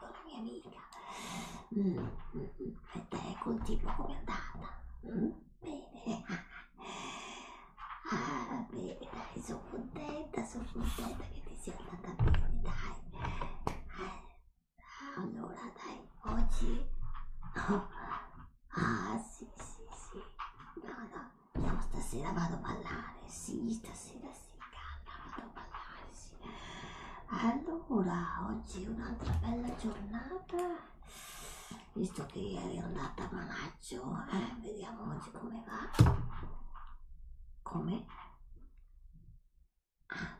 una mia amica. Mm, mm, mm, e te continua come è andata? Mm, bene. Ah, bene, dai, sono contenta, sono contenta che ti sia andata bene, dai. Eh, allora, dai, oggi... Oh. Ah, sì, sì, sì. No, no, no, stasera vado a ballare, sì, stasera sì, calma, vado a ballare, sì allora oggi è un'altra bella giornata visto che ieri è andata a manaccio eh? vediamo oggi come va come ah,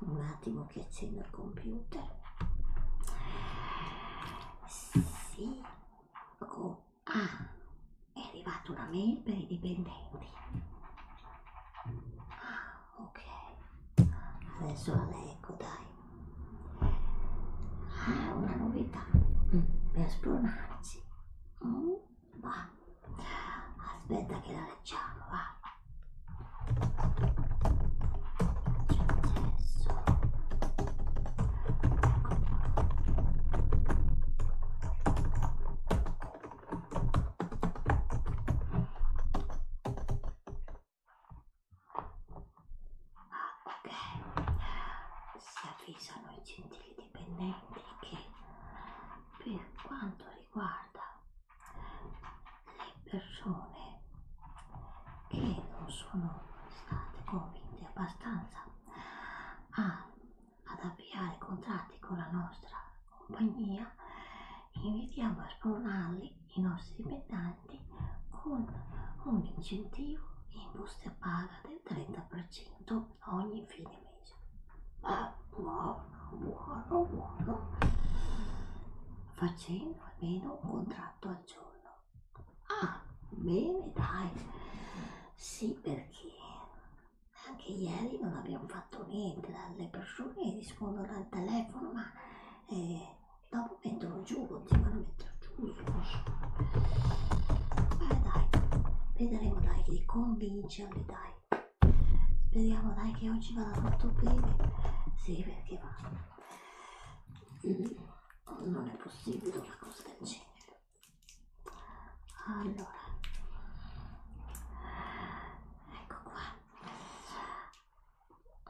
un attimo che accendo il computer sì oh, ah è arrivata una mail per i dipendenti ah, ok adesso la leggo dai ah una novità mm. per spronarci mm. va aspetta che la leggiamo va Accesso. Ecco qua. Ok, si avvisano i gentili dipendenti che per quanto riguarda le persone che non sono state convinte abbastanza a ad avviare contratti con la nostra compagnia, invitiamo a spronarli i nostri dipendenti con un incentivo in buste paga del 30% ogni fine mese. Ma buono, buono, buono. Facendo almeno un contratto al giorno. Ah, bene, dai. Sì, perché anche ieri non abbiamo fatto niente, le persone rispondono al telefono, ma eh, dopo mettono giù, continuano a mettere giù su. Beh dai, vedremo dai di convincerli dai. Speriamo dai che oggi vada tutto bene. Sì, perché va. Mm, non è possibile una cosa del genere. Allora, ecco qua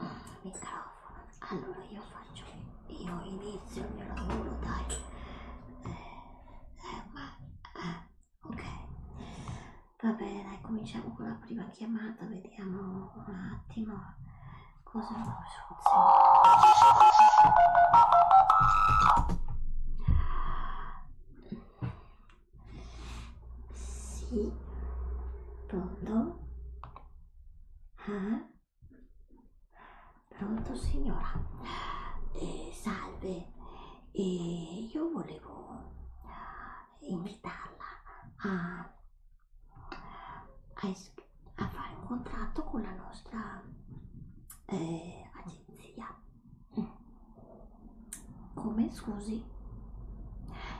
mm, microfono allora io faccio io inizio il mio lavoro dai eh, eh, ma eh, ok va bene dai cominciamo con la prima chiamata vediamo un attimo cosa funziona si pronto ah? pronto signora eh, salve eh, io volevo invitarla a, a, a fare un contratto con la nostra eh, agenzia come scusi?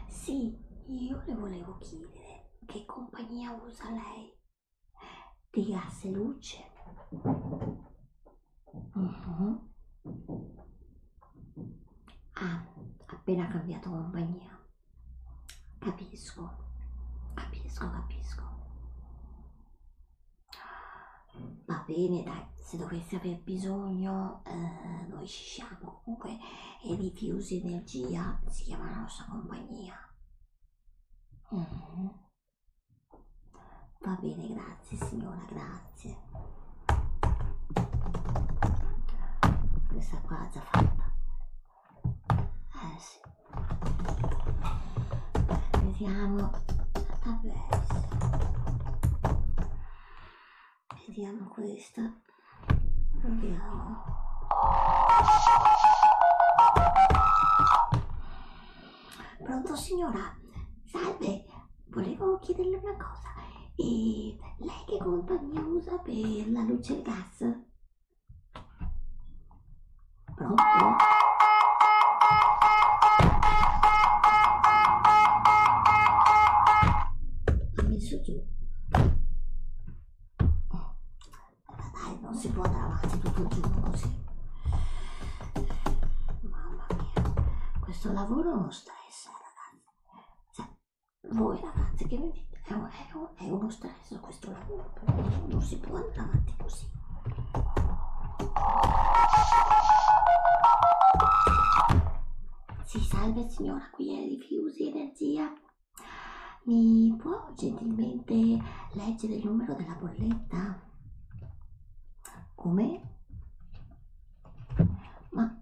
Sì, io le volevo chiedere che compagnia usa lei di gas e luce. Uh -huh. Ah, appena cambiato compagnia. Capisco, capisco, capisco. Va bene, dai, se dovessi aver bisogno, eh, noi ci siamo. Comunque, e Rifiusi Energia si chiama la nostra compagnia. Mm. Va bene, grazie signora, grazie. Questa qua è già fatta. Eh sì vediamo Vabbè. vediamo questa proviamo pronto signora salve volevo chiederle una cosa e lei che compagnia usa per la luce e il gas pronto ho messo giù. Oh. Ma dai, non si può andare avanti tutto il giorno così. Mamma mia, questo lavoro è uno stress, ragazzi. Cioè, voi ragazzi che vedete, è, un, è, un, è uno stress questo lavoro, non si può andare avanti così. Sì, salve signora, qui è Rifiusi Energia. Mi può gentilmente leggere il numero della bolletta? Come? Ma,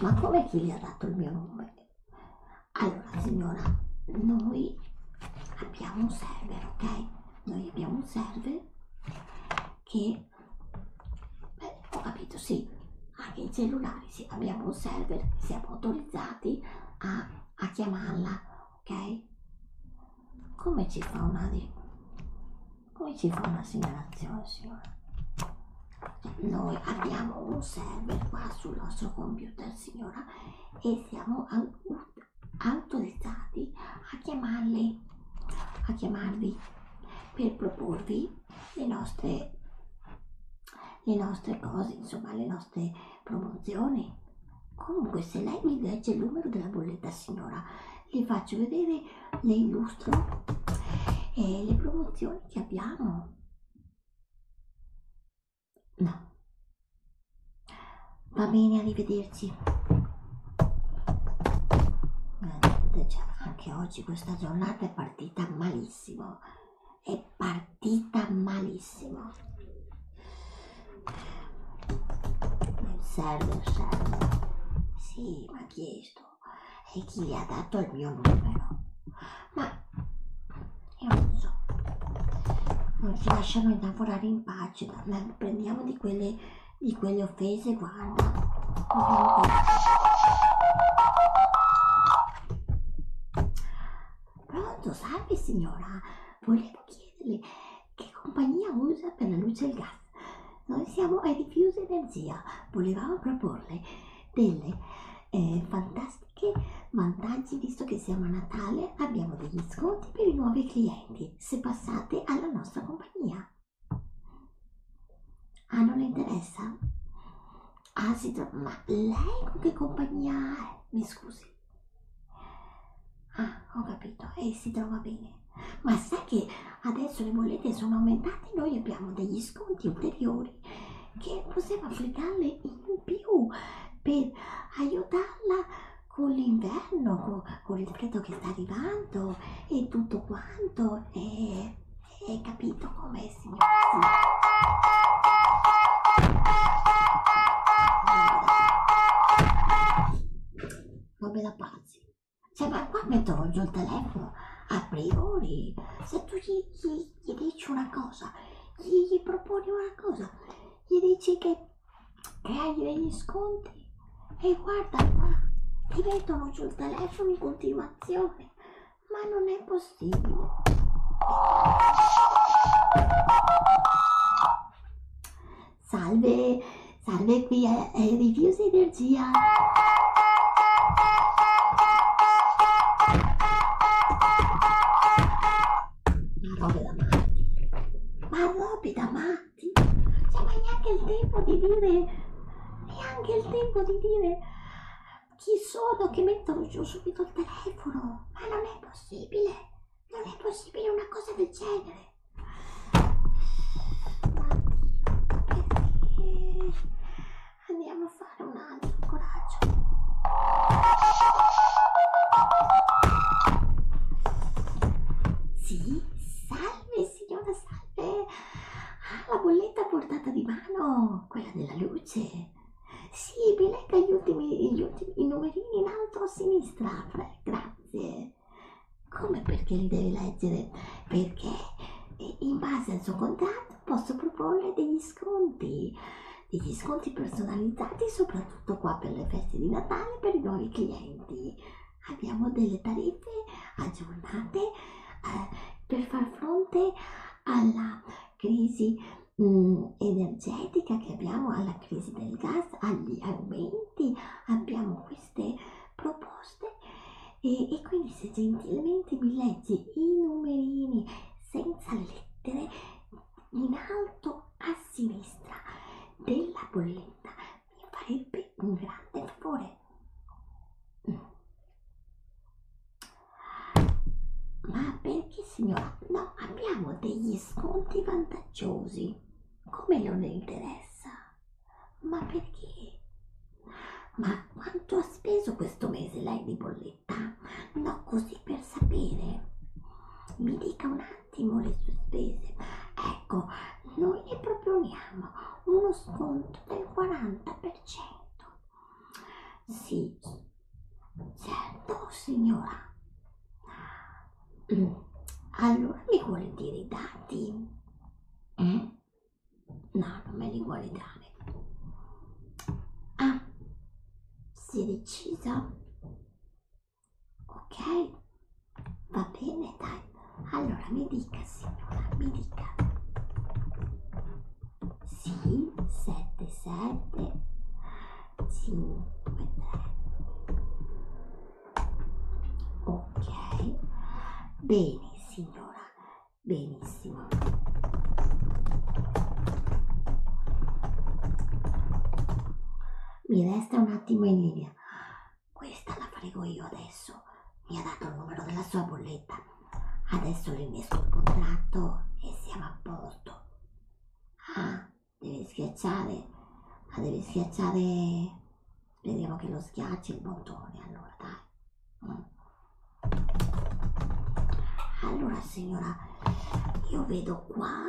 ma come chi le ha dato il mio nome? Allora signora, noi abbiamo un server, ok? Noi abbiamo un server che beh, ho capito sì anche i cellulari sì, abbiamo un server siamo autorizzati a, a chiamarla ok come ci fa una di come ci fa una segnalazione signora noi abbiamo un server qua sul nostro computer signora e siamo autorizzati a chiamarli, a chiamarvi per proporvi le nostre, le nostre cose, insomma le nostre promozioni. Comunque se lei mi legge il numero della bolletta signora, le faccio vedere, le illustro e eh, le promozioni che abbiamo. No, Va bene, arrivederci. Eh, cioè, anche oggi questa giornata è partita malissimo. È partita malissimo. Il server serve. Sì, mi ha chiesto. E chi gli ha dato il mio numero? Ma io non so. Non ci lasciano lavorare in pace, prendiamo di quelle di quelle offese, guarda. Pronto, salve signora. Volevo chiederle che compagnia usa per la luce e il gas. Noi siamo a Diffuse Energia. Volevamo proporle delle eh, fantastiche vantaggi visto che siamo a Natale abbiamo degli sconti per i nuovi clienti piacere se passate alla nostra compagnia. Ah, non le interessa? Ah, si trova... Ma lei con che compagnia è? Mi scusi. Ah, ho capito. E si trova bene. Ma sai che adesso le bollette sono aumentate e noi abbiamo degli sconti ulteriori che possiamo applicarle in più per aiutarla con l'inverno, con, con il freddo che sta arrivando e tutto quanto. E, e capito come signor? Robe da pazzi. Cioè, ma qua metterò giù il telefono a priori. Se tu gli, gli, gli dici una cosa, gli, gli proponi una cosa, gli dici che e hai degli sconti e guarda qua ti mettono giù il telefono in continuazione ma non è possibile salve salve qui è, è Reviews Energia ma robe da matti ma robe da matti matti? Cioè, ma neanche il tempo di dire, neanche il tempo di dire chi sono che mettono giù subito il telefono. Ma non è possibile, non è possibile una cosa del genere. Oddio, Andiamo a fare un altro coraggio. Sì, salve signora, salve! Ah, la bolletta a portata di mano, quella della luce. Sì, mi legga gli ultimi, gli ultimi i numerini in alto a sinistra, grazie. Come perché li devi leggere? Perché eh, in base al suo contratto posso proporle degli sconti, degli sconti personalizzati soprattutto soprattutto qua per le feste di Natale per i nuovi clienti. Abbiamo delle tariffe aggiornate eh, per far fronte alla crisi mh, mm, energetica che abbiamo, alla crisi del gas, agli aumenti. Abbiamo queste proposte e, e quindi se gentilmente mi leggi i numerini senza lettere in alto a sinistra della bolletta mi farebbe un grande favore. Mm. Ma perché signora? No, abbiamo degli sconti vantaggiosi. Come non interessa? Ma perché? Ma quanto ha speso questo mese lei di bolletta? No, così per sapere. Mi dica un ottimo le sue spese ecco noi le proponiamo uno sconto del 40% sì certo signora mm, allora mi vuole dire i dati eh? no non me li vuole dare ah si è decisa ok? Va bene, dai. Allora mi dica, signora, mi dica. Sì, 7, 7, 5, 3. Ok. Bene, signora. Benissimo. Mi resta un attimo in linea. Questa la farò io adesso. Mi ha dato il numero della sua bolletta. Adesso rinesco il contratto e siamo a posto. Ah, devi schiacciare. Ma devi schiacciare... Speriamo che lo schiacci il bottone, allora dai. Mm. Allora signora, io vedo qua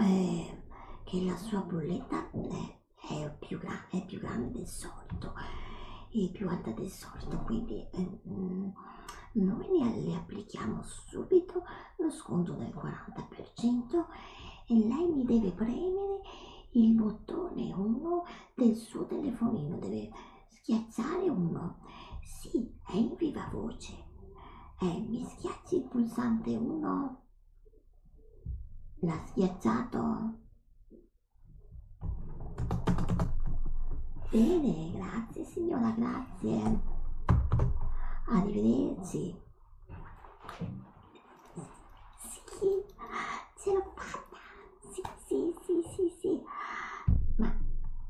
eh, che la sua bolletta è, è, più è più grande del solito e più alta del solito quindi eh, noi ne, le applichiamo subito lo sconto del 40% e lei mi deve premere il bottone 1 del suo telefonino deve schiacciare 1 sì è in viva voce eh, mi schiacci il pulsante 1? L'ha schiacciato? Bene, grazie signora, grazie. Arrivederci. Sì, ce l'ho fatta. Sì, sì, sì, sì, sì. Ma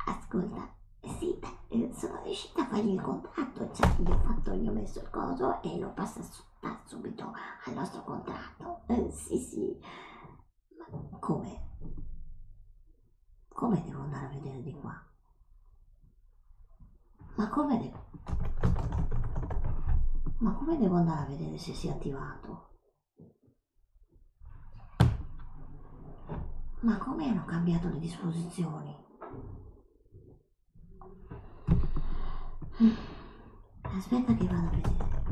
ascolta, sì, beh, eh, sono riuscita a fargli il contratto, cioè gli ho, fatto, gli ho messo il coso e l'ho passato subito al nostro contratto. Eh, sì, sì. Ma come? Come devo andare a vedere di qua? Ma come devo... Ma come devo andare a vedere se si è attivato? Ma come hanno cambiato le disposizioni? Aspetta che vado a vedere.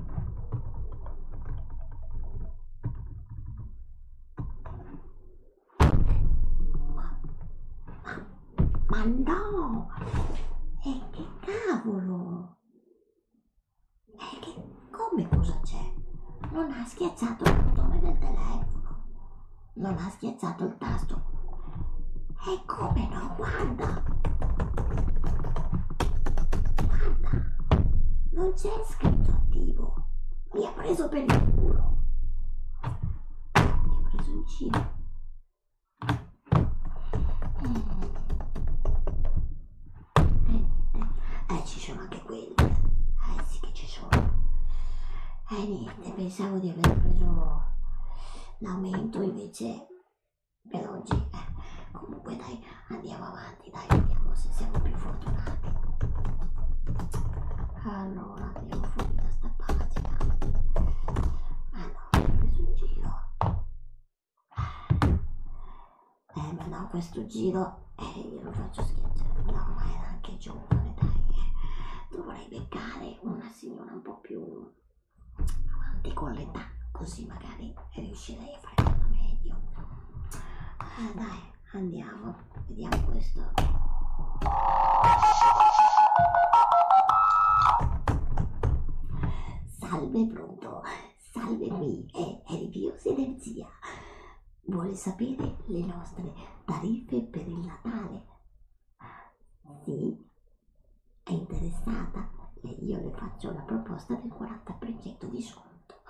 Ma, ma, ma no! E eh, che cavolo! E eh, che come cosa c'è? Non ha schiacciato il bottone del telefono. Non ha schiacciato il tasto. E come no, guarda! Guarda! Non c'è scritto attivo. Mi ha preso per il culo. Mi ha preso in giro. Eh, eh, eh ci sono anche quelli. Eh sì che ci sono. E eh, niente e pensavo di aver preso l'aumento invece per oggi eh, comunque dai andiamo avanti dai vediamo se siamo più fortunati allora andiamo fuori da sta pagina allora ah, ho preso in giro eh ma no questo giro eh, glielo faccio schiacciare, no ma era anche giovane dai, eh. dovrei beccare una signora un po' più avanti con l'età, così magari riuscirei a fare meglio. Eh, dai, andiamo, vediamo questo. Salve pronto, salve qui, è, è Riviosi Energia. Vuole sapere le nostre tariffe per il Natale? Sì? È interessata? E io le faccio la proposta del 40% di sconto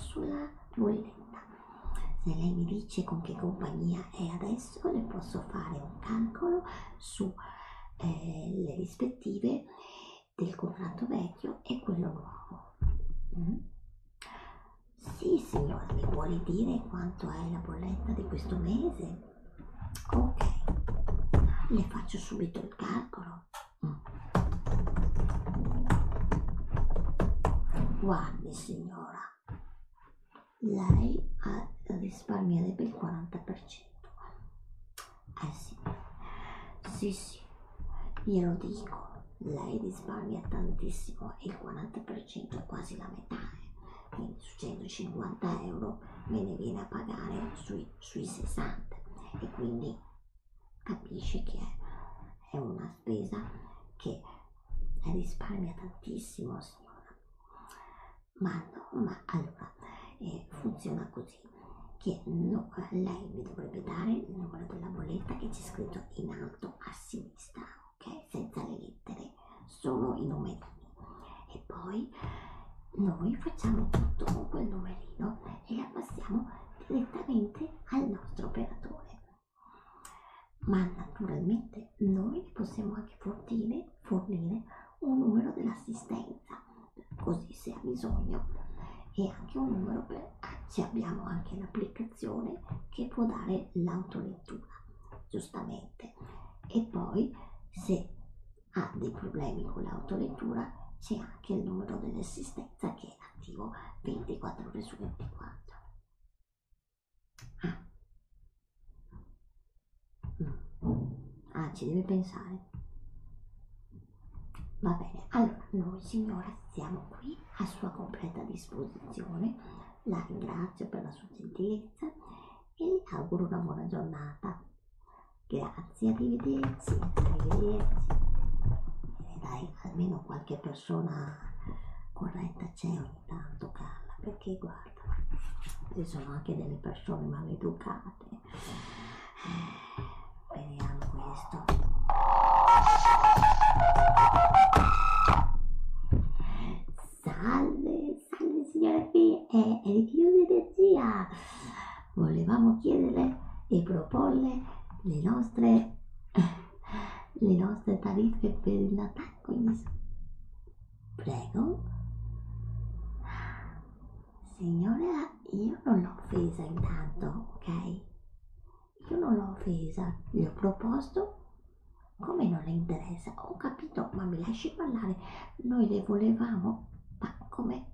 sulla bolletta. Se lei mi dice con che compagnia è adesso, le posso fare un calcolo sulle eh, rispettive del contratto vecchio e quello nuovo. Mm? Sì, signora, mi vuole dire quanto è la bolletta di questo mese? Ok, le faccio subito il calcolo. Mm. Guardi, signora, lei risparmierebbe il 40%. Eh sì, sì, sì, glielo dico lei risparmia tantissimo, il 40% è quasi la metà, eh. quindi su 150 euro me ne viene a pagare sui, sui 60 e quindi capisce che è, è una spesa che risparmia tantissimo signora, ma, no, ma allora eh, funziona così che no, eh, lei mi dovrebbe dare il numero della bolletta che c'è scritto in alto a sinistra ok? Senza le lettere, solo i numerini. E poi noi facciamo tutto con quel numerino e la passiamo direttamente al nostro operatore. Ma naturalmente noi possiamo anche fornire, fornire un numero dell'assistenza, così se ha bisogno, e anche un numero per web ci abbiamo anche l'applicazione che può dare l'autolettura, giustamente. E poi se ha dei problemi con l'autolettura c'è anche il numero dell'assistenza che è attivo 24 ore su 24. Ah. Mm. ah, ci deve pensare. Va bene, allora noi signora siamo qui a sua completa disposizione, la ringrazio per la sua gentilezza e le auguro una buona giornata. Grazie, arrivederci, arrivederci. E eh, dai, almeno qualche persona corretta c'è ogni tanto, Carla, perché guarda, ci sono anche delle persone maleducate. Eh, vediamo questo. Salve, salve signora qui, è, è il chiuso energia. Volevamo chiederle e proporle le nostre, le nostre tariffe per il Natale. Quindi, prego. Signora, io non l'ho offesa intanto, ok? Io non l'ho offesa, gli ho proposto come non le interessa, ho capito, ma mi lasci parlare, noi le volevamo, ma come?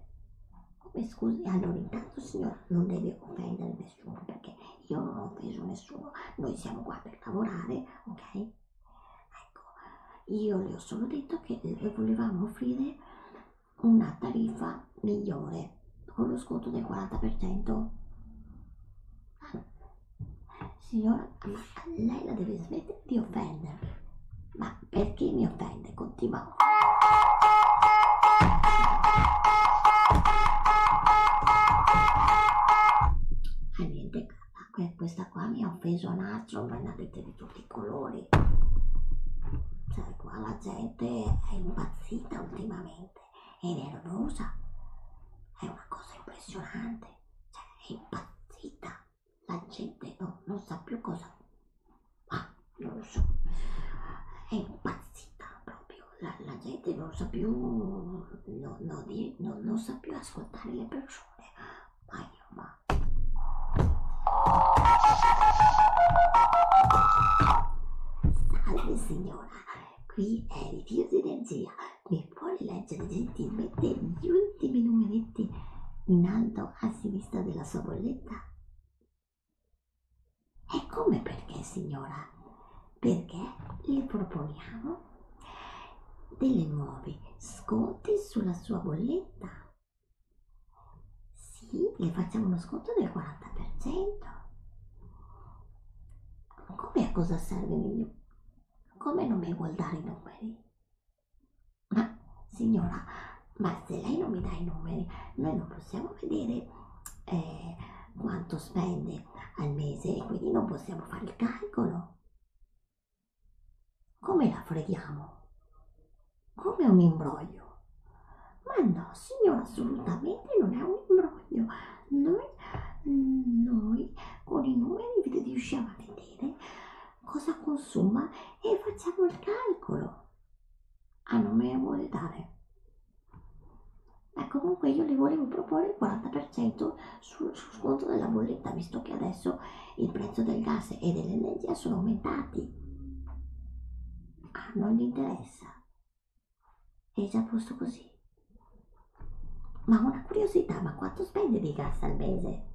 Come scusi? Allora intanto signora non deve offendere nessuno perché io non ho offeso nessuno, noi siamo qua per lavorare, ok? Ecco, io le ho solo detto che le volevamo offrire una tariffa qualità migliore con lo sconto del 40% ah, signora ma lei la deve smettere di offendere ma perché mi offende continua ah, niente ah, questa qua mi ha offeso a nastro ma ne avete di tutti i colori cioè qua la gente è impazzita ultimamente ed è rosa. È una cosa impressionante, cioè è impazzita. La gente no, oh, non sa più cosa. Ah, non lo so. È impazzita proprio. La, la gente non sa più. No, no, di, no, non sa più ascoltare le persone. Ma io, ma. Salve signora, qui è il Dio di Energia e puoi leggere gentilmente gli ultimi numeretti in alto a sinistra della sua bolletta? E come perché, signora? Perché le proponiamo delle nuove sconti sulla sua bolletta. Sì, le facciamo uno sconto del 40%. Come a cosa serve io? Come non mi vuol dare i numeri? Ma signora, ma se lei non mi dà i numeri, noi non possiamo vedere eh, quanto spende al mese e quindi non possiamo fare il calcolo. Come la freghiamo? Come un imbroglio. Ma no, signora, assolutamente non è un imbroglio. Noi, noi con i numeri vi riusciamo a vedere cosa consuma e facciamo il calcolo. Ah, non me ne vuole dare. Ma ecco, comunque io le volevo proporre il 40% sul, sul sconto della bolletta, visto che adesso il prezzo del gas e dell'energia sono aumentati. Ah, non gli interessa. È già posto così. Ma una curiosità, ma quanto spende di gas al mese?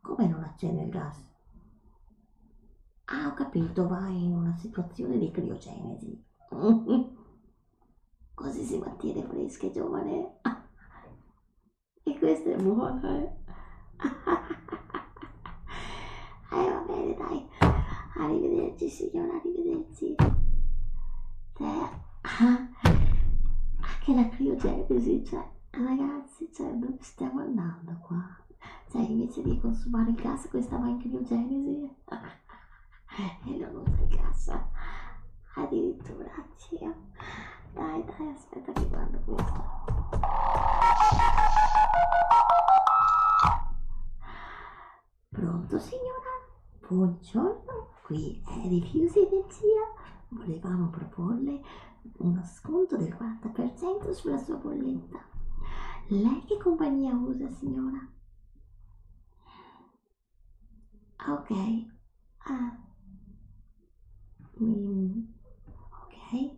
Come non accende il gas? Ah, ho capito, va in una situazione di criogenesi. Così si mantiene fresca e giovane. e questa è buona, eh? eh va bene dai arrivederci signora arrivederci eh, ah, anche la criogenesi cioè ragazzi cioè dove stiamo andando qua cioè invece di consumare il gas questa va in criogenesi e non usa il gas addirittura cia. dai dai aspetta che guardo questo Pronto signora? Buongiorno, qui è Rifiusi Energia. Volevamo proporle uno sconto del 40% sulla sua bolletta. Lei che compagnia usa signora? Ok, ah. Mm. ok,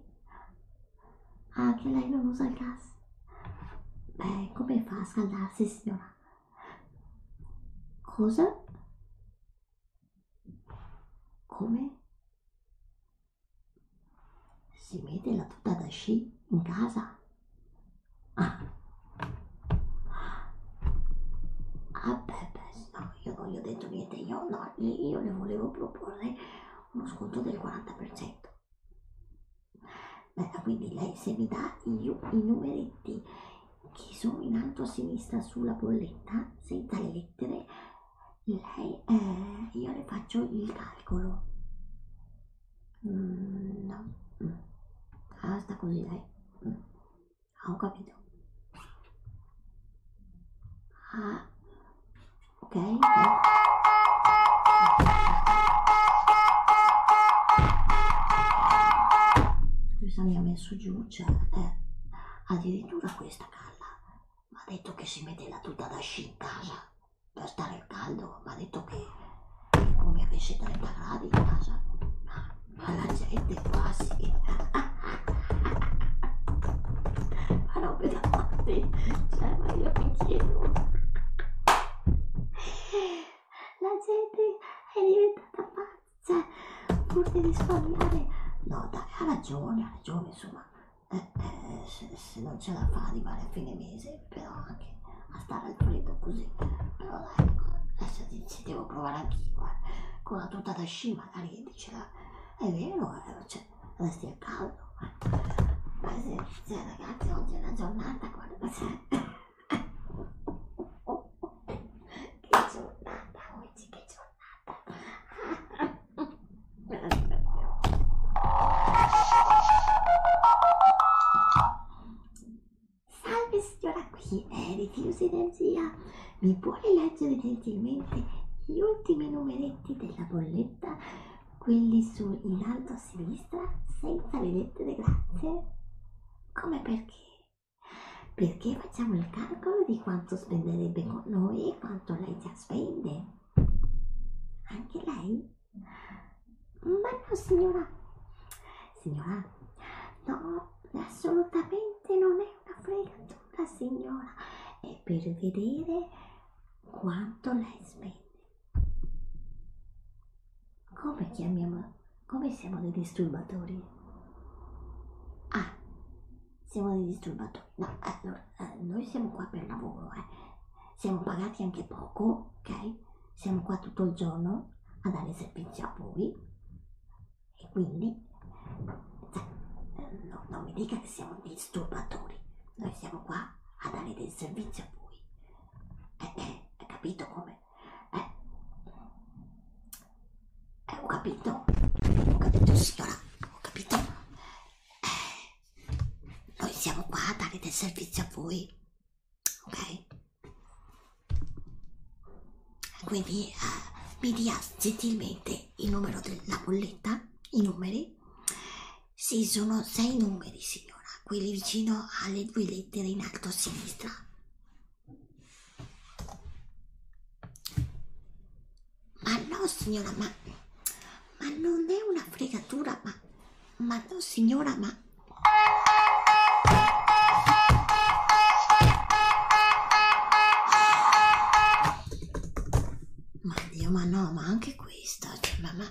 anche ah, lei non usa il gas. Beh, come fa a scaldarsi, signora? Cosa? Come? Si mette la tuta da sci in casa? Ah, ah beh, beh, no, io non gli ho detto niente, io no, io le volevo proporre uno sconto del 40%. Bella, quindi lei se mi dà i, i numeretti che sono in alto a sinistra sulla bolletta, senza le lettere, lei, eh, io le faccio il calcolo. Mm, no, mm. ah sta così lei. Mm. Ah, ho capito. Ah, ok? Questa mi ha messo giù, cioè, eh, addirittura questa calla mi ha detto che si mette la tuta da sci in casa per stare al caldo, mi ha detto che è come avesse 30 gradi in casa, ma la gente quasi... ma non pesanti cioè ma io mi chiedo la gente è diventata pazza cioè, pur di risparmiare no dai ha ragione ha ragione insomma eh, eh, se, se non ce la fa arrivare a fine mese però anche a stare al freddo così però dai adesso se devo provare anch'io eh. con la tuta da sci magari dicela è vero eh, cioè, resti a caldo. Ma sì, sì, ragazzi, oggi è una giornata, guarda, cioè... che giornata oggi, che giornata. Salve signora qui, eh, rifiusi energia. Mi puoi leggere gentilmente gli ultimi numeretti della bolletta? quelli su in alto a sinistra senza vedette grazie come perché perché facciamo il calcolo di quanto spenderebbe con noi e quanto lei già spende anche lei ma no signora signora no assolutamente non è una fregatura signora è per vedere quanto lei spende. Come chiamiamo, come siamo dei disturbatori? Ah, siamo dei disturbatori. No, allora, eh, noi siamo qua per lavoro, eh. Siamo pagati anche poco, ok? Siamo qua tutto il giorno a dare servizio a voi e quindi cioè, eh, no, non mi dica che siamo disturbatori noi siamo qua a dare del servizio a voi. Eh, eh, hai capito come? Eh? eh? Ho capito, ho capito signora, ho capito. Eh, noi siamo qua a dare del servizio a voi, ok? Quindi eh, mi dia gentilmente il numero della bolletta, i numeri numeri? Sì, sono sei numeri, signora, quelli vicino alle due lettere in alto a sinistra. Ma no, signora, ma, ma non è una fregatura, ma, ma no, signora, ma... Ma Dio, ma no, ma anche questa, cioè, ma, ma...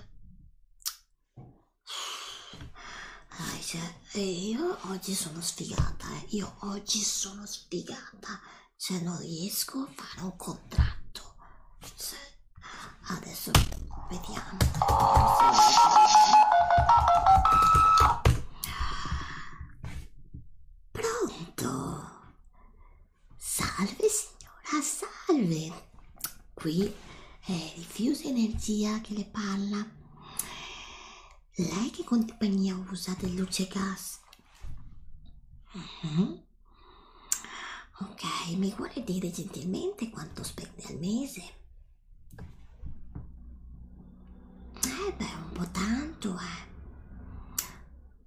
Dai, cioè, eh, io oggi sono sfigata, eh. io oggi sono sfigata, cioè non riesco a fare un contratto, cioè, adesso vediamo. Pronto? Salve signora, salve! Qui è Diffusa Energia che le parla. Lei che compagnia usa del luce gas? Mm -hmm. Ok, mi vuole dire gentilmente quanto spende al mese? Eh beh, un po' tanto, eh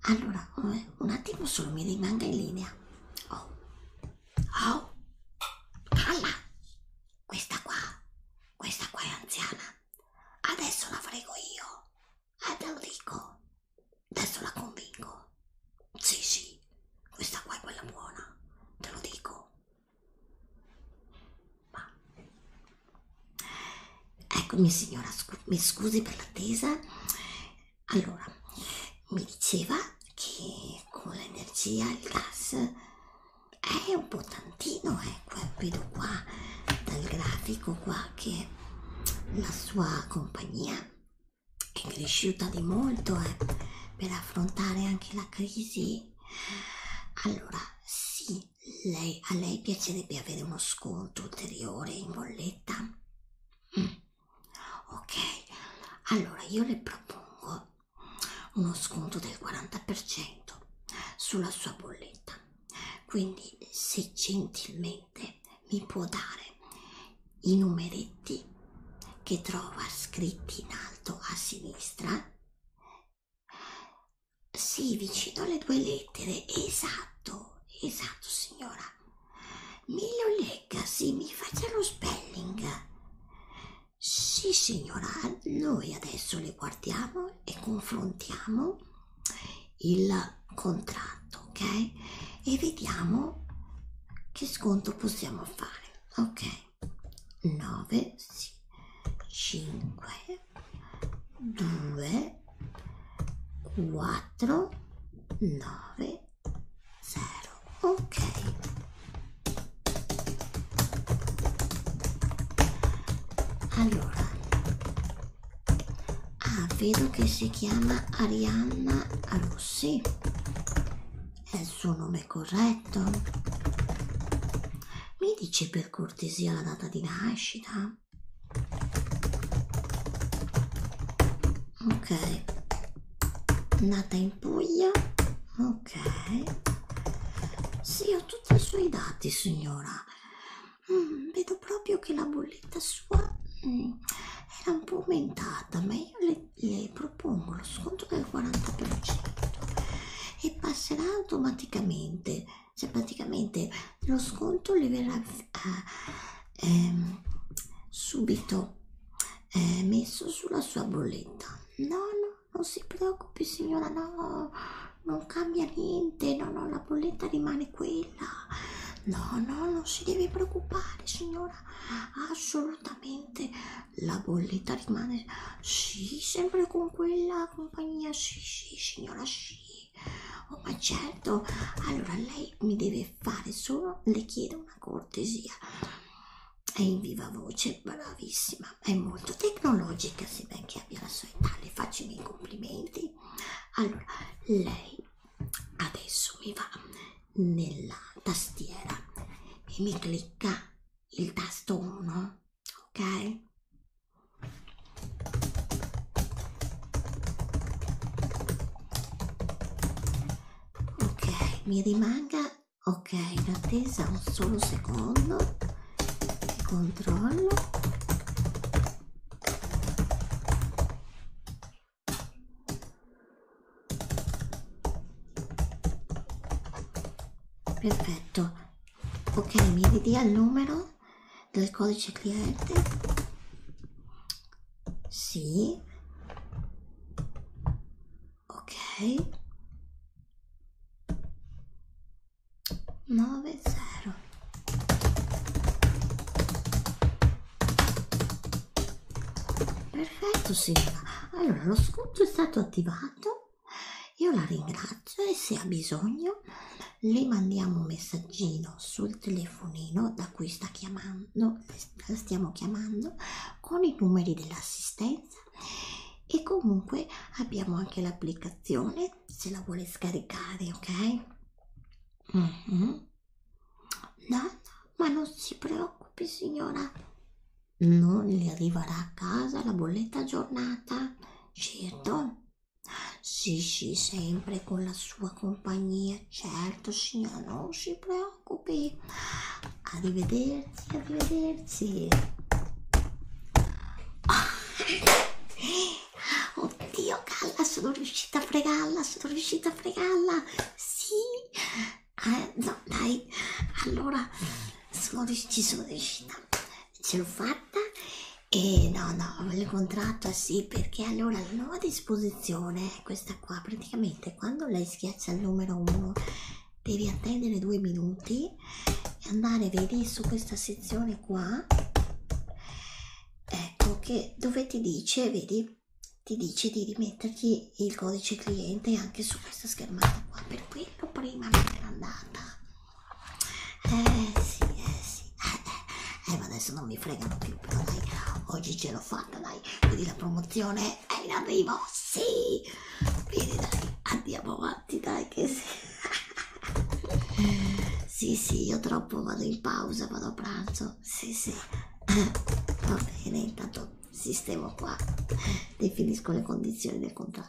allora un attimo solo mi rimanga in linea oh oh calla questa qua questa qua è anziana adesso la frego io eh te lo dico adesso la convinco sì sì questa qua è quella buona te lo dico ma Eccomi signora, scu mi scusi per l'attesa. Allora, mi diceva che con l'energia il gas è un po' tantino, ecco, eh, vedo qua dal grafico qua che la sua compagnia è cresciuta di molto eh, per affrontare anche la crisi. Allora, sì, lei, a lei piacerebbe avere uno sconto ulteriore in bolletta sigaretta? Mm. Ok, allora io le propongo uno sconto del 40% sulla sua bolletta. Quindi, se gentilmente mi può dare i numeretti che trova scritti in alto a sinistra, sì, vicino alle due lettere, esatto. Esatto, esatto signora. Mi lo leggasi, mi faccia lo spelling. Sì signora, noi adesso le guardiamo e confrontiamo il contratto, ok? E vediamo che sconto possiamo fare, ok? 9, sì, 5 2 4 9 0 ok allora ah vedo che si chiama Arianna Rossi è il suo nome corretto mi dici per cortesia la data di nascita ok nata in Puglia ok sì ho tutti i suoi dati signora mm, vedo proprio che la bolletta sua mm, era un po' aumentata ma io le, le propongo lo sconto del 40% e passerà automaticamente cioè praticamente lo sconto le verrà eh, eh, subito eh, messo sulla sua bolletta no no non si preoccupi signora no non cambia niente no no la bolletta rimane quella no no non si deve preoccupare signora assolutamente la bolletta rimane sì sempre con quella compagnia sì sì signora sì Oh, ma certo, allora lei mi deve fare solo, le chiedo una cortesia. È in viva voce, bravissima, è molto tecnologica, sebbene abbia la sua età, le faccio i miei complimenti. Allora, lei adesso mi va nella tastiera e mi clicca il tasto 1, ok? ok mi rimanga ok in attesa un solo secondo che controllo perfetto ok mi ridia il numero del codice cliente sì ok 9 0 perfetto Silva allora lo sconto è stato attivato io la ringrazio spazio e se ha bisogno le mandiamo un messaggino sul telefonino da cui sta chiamando, stiamo chiamando con i numeri dell'assistenza e comunque abbiamo anche l'applicazione se la vuole scaricare ok mm -hmm. no, no ma non si preoccupi signora non le arriverà a casa la bolletta giornata certo sì, sì, sempre con la sua compagnia, certo signora, non si preoccupi. Arrivederci, arrivederci. Oh. Oddio, Galla, sono riuscita a fregarla, sono riuscita a fregarla. Sì. Eh, no, dai. Allora, sono, ci sono riuscita. Ce l'ho fatta e no, no, il contratto sì, perché allora la nuova disposizione è questa qua, praticamente quando lei schiaccia il numero 1 devi attendere due minuti e andare, vedi, su questa sezione qua, ecco che dove ti dice, vedi, ti dice di rimetterti il codice cliente anche su questa schermata qua, per quello prima mi era andata eh sì, eh sì. Eh, eh, ma adesso non mi fregano più, però dai, oggi ce l'ho fatta, dai. Quindi la promozione è in arrivo, sì. Quindi dai, andiamo avanti, dai, che sì. Sì, sì, io troppo vado in pausa, vado a pranzo. Sì, sì. Va bene, intanto sistemo qua. Definisco le condizioni del contratto.